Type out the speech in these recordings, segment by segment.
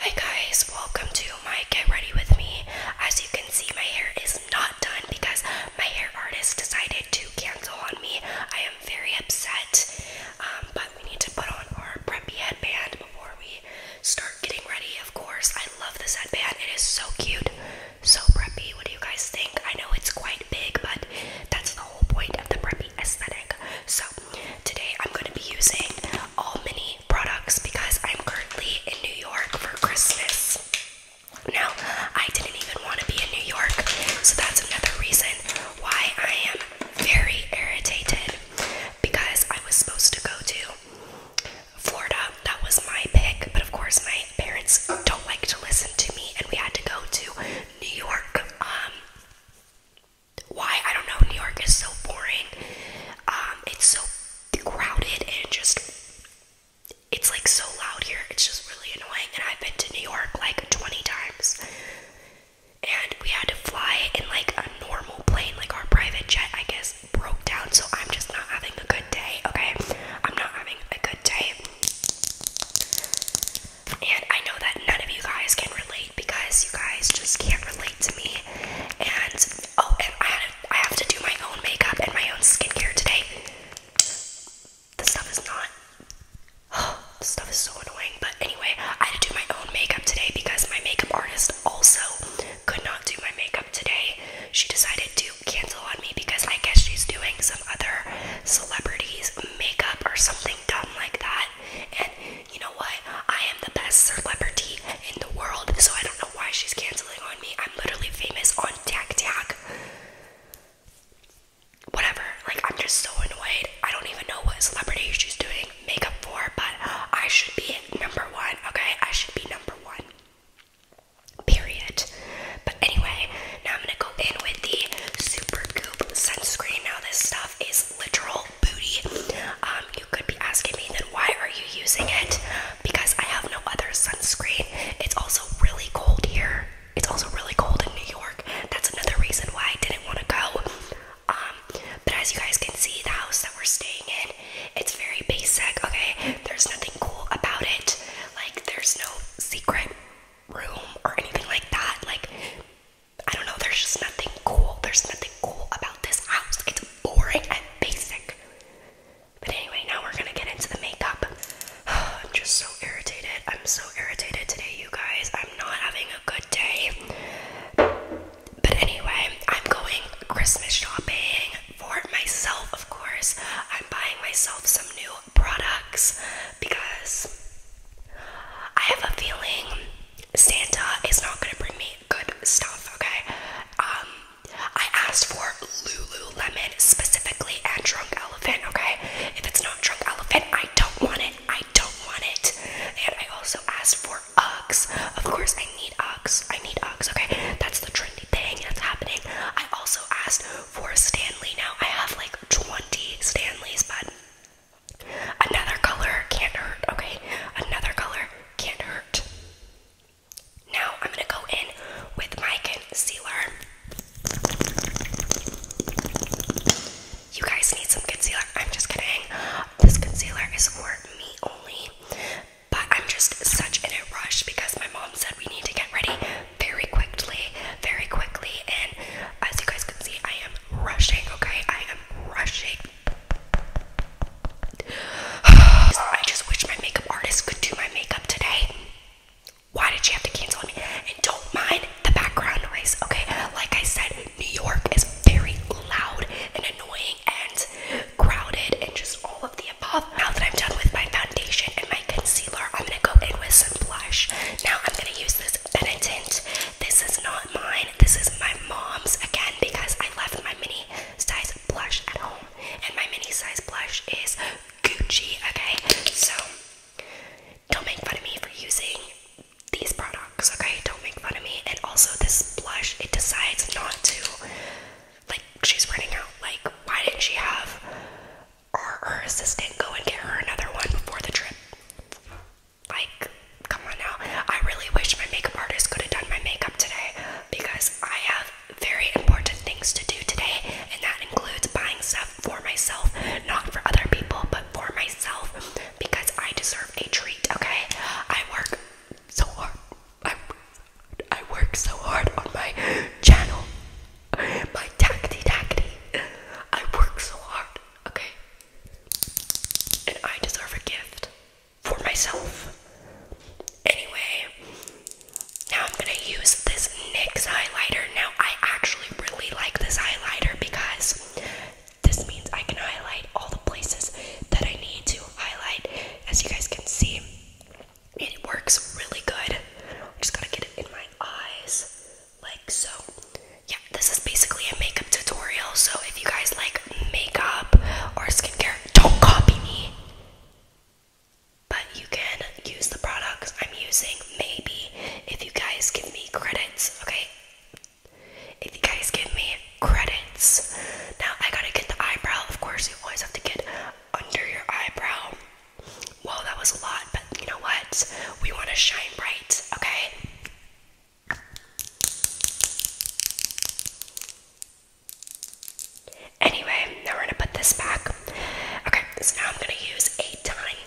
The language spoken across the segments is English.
Hi guys, welcome to my get ready with me. As you can see, my hair is not done because my hair artist decided to cancel on me. I am very upset, um, but we need to put on our preppy headband before we start getting ready. Of course, I love this headband. It is so cute, so preppy. What do you guys think? I know it's quite big, but that's the whole point of the preppy aesthetic. So Today I'm going to be using all mini products because I'm currently in New York for Christmas. Now, I didn't even want to be in New York, so that's another reason why I am very irritated because I was supposed to go to Florida. That was my pick, but of course, my parents don't like to listen to me, and we had to go to New York. Um, why I don't know. New York is so boring. Um, it's so crowded and just it's like so loud here. It's just really annoying. And I've been to New York like 20 times, and we had to fly in like a normal plane, like our private jet. I guess broke down, so I'm just not having a good day. Okay, I'm not having a good day. And I know that none of you guys can relate because you guys just can't relate to me. And oh, and I, had, I have to do my own makeup and my own skincare today. This stuff is not. Oh, this stuff is so annoying. But anyway, I had to do my own makeup today because my makeup artist also could not do my makeup today. She decided to cancel on me because I guess she's doing some other celebrities' makeup or something dumb like that. And you know what? I am the best celebrity in the world, so I don't know why she's canceling on me. I'm literally famous on TikTok. Whatever. Like, I'm just so annoyed. I don't even know what celebrity she's doing makeup for, but I should be number one, okay? I should be number one. Period anyway, now I'm gonna go in with the Super Goop sunscreen. Now this stuff is literal booty. Um, you could be asking me then why are you using it? Because I have no other sunscreen. It's also really cold here. It's also really cold in New York. That's another reason why I didn't want to go. Um, but as you guys can see, the house that we're staying in, it's very basic. Okay, there's nothing cool about it. Like there's no secret room or anything like that. Like, I don't know, there's just nothing cool. There's nothing cool about this house. It's boring and basic. But anyway, now we're gonna get into the makeup. I'm just so irritated. I'm so irritated today, you guys. I'm not having a good day. But anyway, I'm going Christmas shopping for myself, of course. I'm buying myself some new products because I have a feeling Santa is not going to bring me good stuff, okay? Um, I asked for Lululemon specifically and Drunk Elephant, okay? If it's not Drunk Elephant, I don't want it. I don't want it. And I also asked for Uggs. Of course, I need Uggs. I need Uggs, okay? That's the trend anything that's happening. I also asked for Stanley now. I have like 20 Stanleys, but another color can't hurt, okay? Another color can't hurt. Now I'm gonna go in with my concealer. You guys need some concealer. I'm just kidding. This concealer is for me only but I'm just such in a rush because my mom said we need to get ready very quickly, very quickly. And as you guys can see, I am rushing, okay? I am rushing. I just wish my makeup artist could do my makeup today. Why did she have to cancel me? And don't mind the background noise, okay? Like I said, New York is very loud and annoying, and crowded, and just all of the above. Now that I'm done with my foundation and my concealer, I'm gonna go in with some blush. Now I'm gonna use this Benetint. This is not mine. This is my mom's again because I left my mini size blush at home, and my mini size blush is Gucci. Okay, so don't make fun of me for using these products rocks, okay? Don't make fun of me. And also, this blush, it decides not to. Like, she's running out. Like, why didn't she have our, her assistant go and get her another one before the trip? Like, come on now. I really wish my makeup artist could have done my makeup today because I have very important things to do today, and that includes buying stuff for myself, not for other people, but for myself because I deserve a treat, okay? I work so hard. I, I work so hard on my channel. My tacty tacty. I work so hard, okay? And I deserve a gift for myself. Anyway, now I'm gonna use this NYX highlighter. Now, I actually really like this highlighter because this means I can highlight all the places that I need to highlight. As you guys can see, it works really good. I'm just gotta get it in my eyes, like so. Yeah, this is basically a makeup tutorial. So if you guys like makeup or skincare, don't copy me. But you can use the products I'm using, maybe, if you guys give me credits, okay? if you guys give me credits. Now I gotta get the eyebrow. Of course, you always have to get under your eyebrow. Whoa, that was a lot, but you know what? We want to shine bright, okay? Anyway, now we're gonna put this back. Okay, so now I'm gonna use a tiny,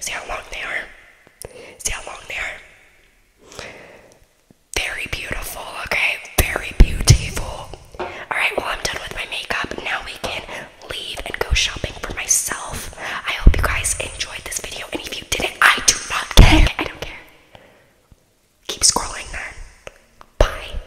See how long they are? See how long they are? Very beautiful, okay? Very beautiful. Alright, well, I'm done with my makeup. Now we can leave and go shopping for myself. I hope you guys enjoyed this video, and if you didn't, I do not care. I don't care. Keep scrolling then. Bye.